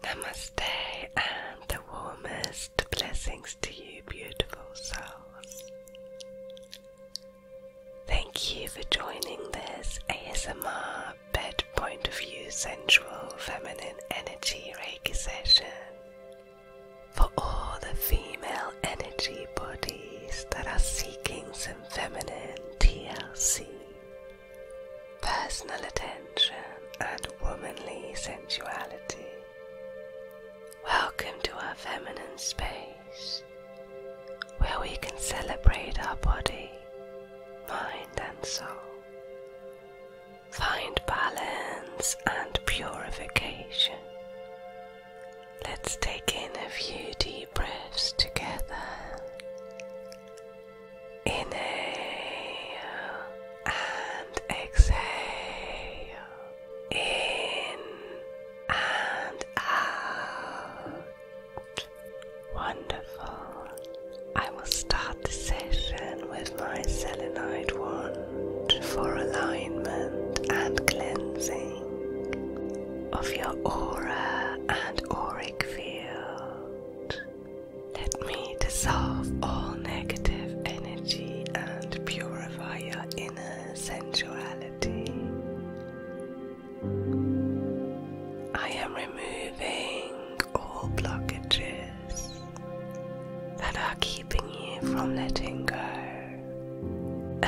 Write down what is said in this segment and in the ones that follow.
Namaste and the warmest blessings to you, beautiful souls. Thank you for joining this ASMR Bed Point of View Sensual Feminine Energy Reiki for all the female energy bodies that are seeking some feminine TLC personal attention, and womanly sensuality. Welcome to our feminine space where we can celebrate our body, mind, and soul. Find balance and purification. Let's take in a few deep breaths together. Inhale and exhale. In and out. Wonderful. I will start the session with my selenite wand for alignment and cleansing of your aura and auric field. Let me dissolve all negative energy and purify your inner sensuality. I am removing all blockages that are keeping you from letting go,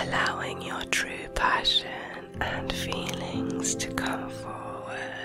allowing your true passion and feelings to come forward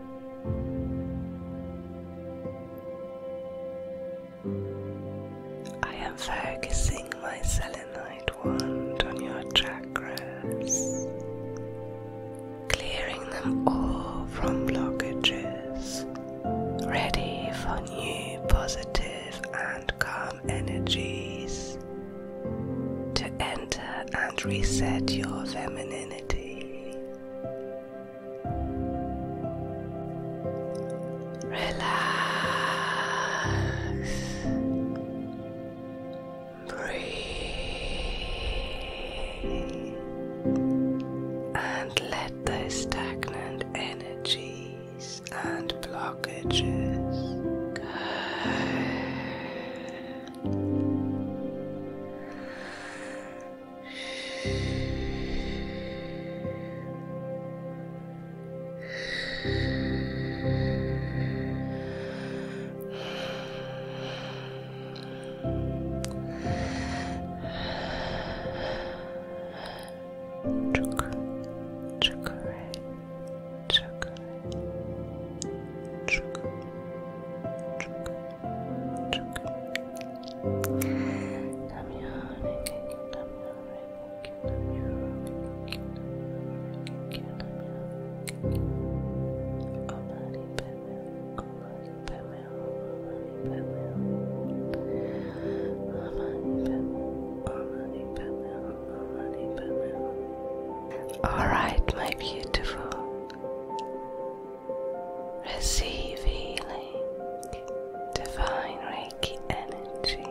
I am focusing my selenite wand on your chakras, clearing them all from blockages, ready for new positive and calm energies to enter and reset your femininity. Relax. Breathe. And let the stagnant energies and blockages go. Chukra, chukra, chukra, chukra, chukra, chukra, all right, my beautiful. Receive healing, divine Reiki energy.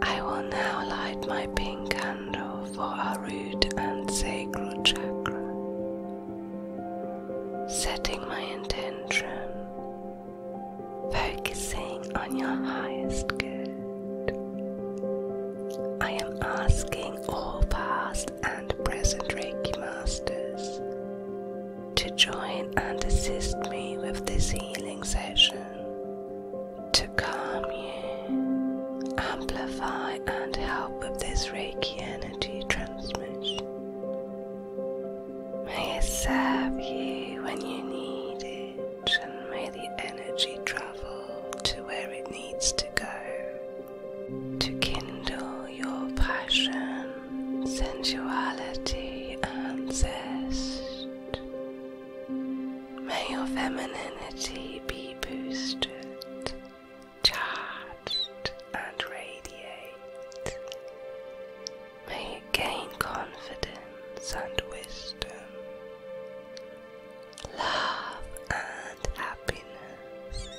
I will now light my pink candle for our root and sacral chakra. Setting my intention, focusing on your highest good. I am asking all past and present Reiki masters to join and assist me with this healing session to calm you, amplify, and help with this Reiki energy transmission. May it serve you when you need it, and may the energy travel to where it needs to go to kindle your passion, sensuality, and zest. May your femininity be boosted, charged, and radiate. May it gain confidence and wisdom, love and happiness.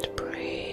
and breathe.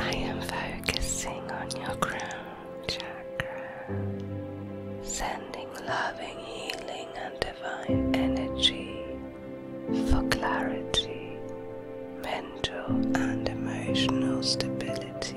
I am focusing on your crown chakra, sending loving, healing, and divine energy for clarity, mental, and emotional stability.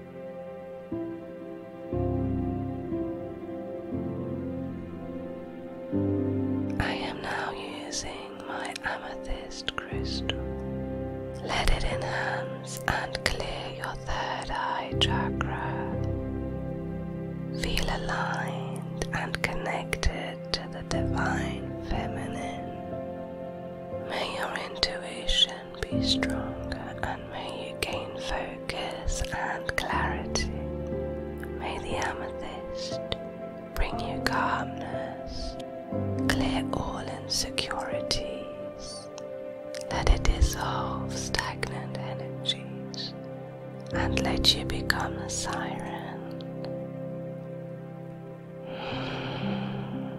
I am now using my amethyst crystal. Let it enhance and clear your third eye chakra. Feel aligned and connected to the divine feminine. May your intuition be stronger, and may you gain focus and clarity. May the amethyst bring you calmness, clear all insecurities, let it dissolve stagnant energies, and let you become a siren.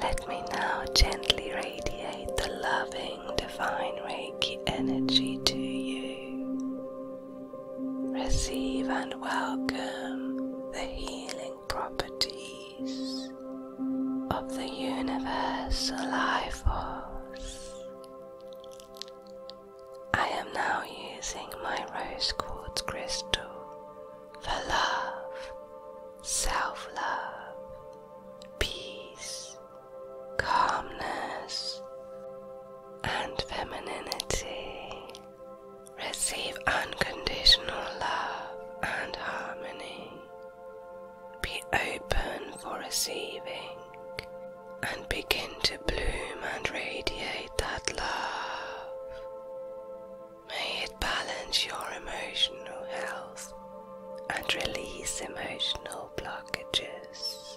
Let me now gently radiate the loving divine Reiki energy to you. Receive and welcome the healing properties of the universal life force. I am now using my rose quartz crystal for love, self love, peace, calmness, and femininity. Receive unconditional love and harmony. Be open for receiving and begin to bloom and radiate that love. May it balance your emotional health and release emotional blockages.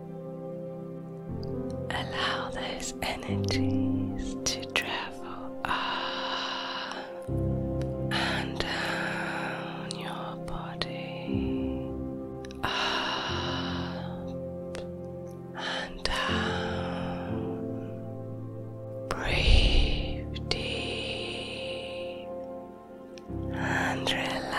Allow those energies to travel up and down your body, up and down. Breathe deep and relax.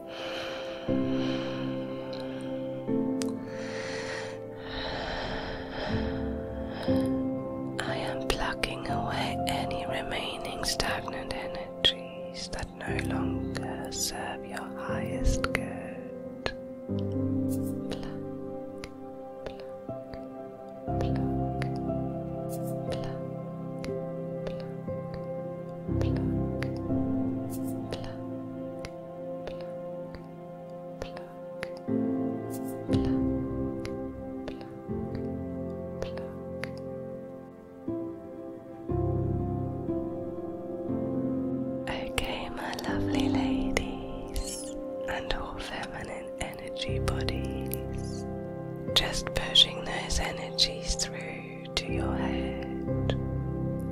I am plucking away any remaining stagnant energies that no longer serve your highest good. Okay, my lovely ladies and all feminine energy bodies, just pushing those energies through to your head,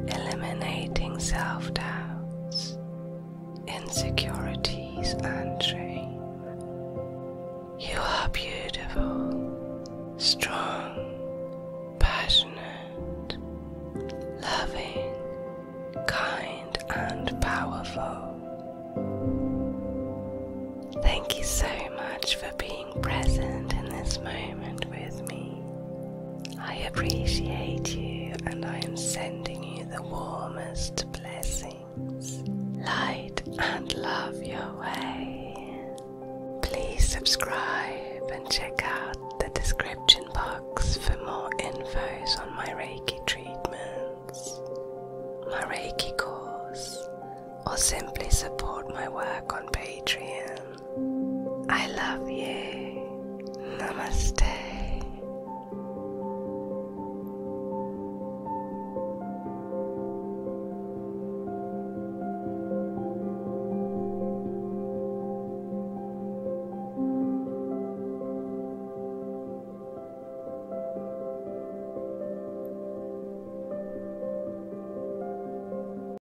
eliminating self doubts, insecurities, and shame. You are beautiful, strong, passionate, loving, kind, and powerful. Thank you so much for being present in this moment with me. I appreciate you and I am sending you the warmest blessings. Light and love your way. Please subscribe and check out the description box for more infos on my Reiki treatments, my Reiki course, or simply support my work on Patreon. I love you. Namaste.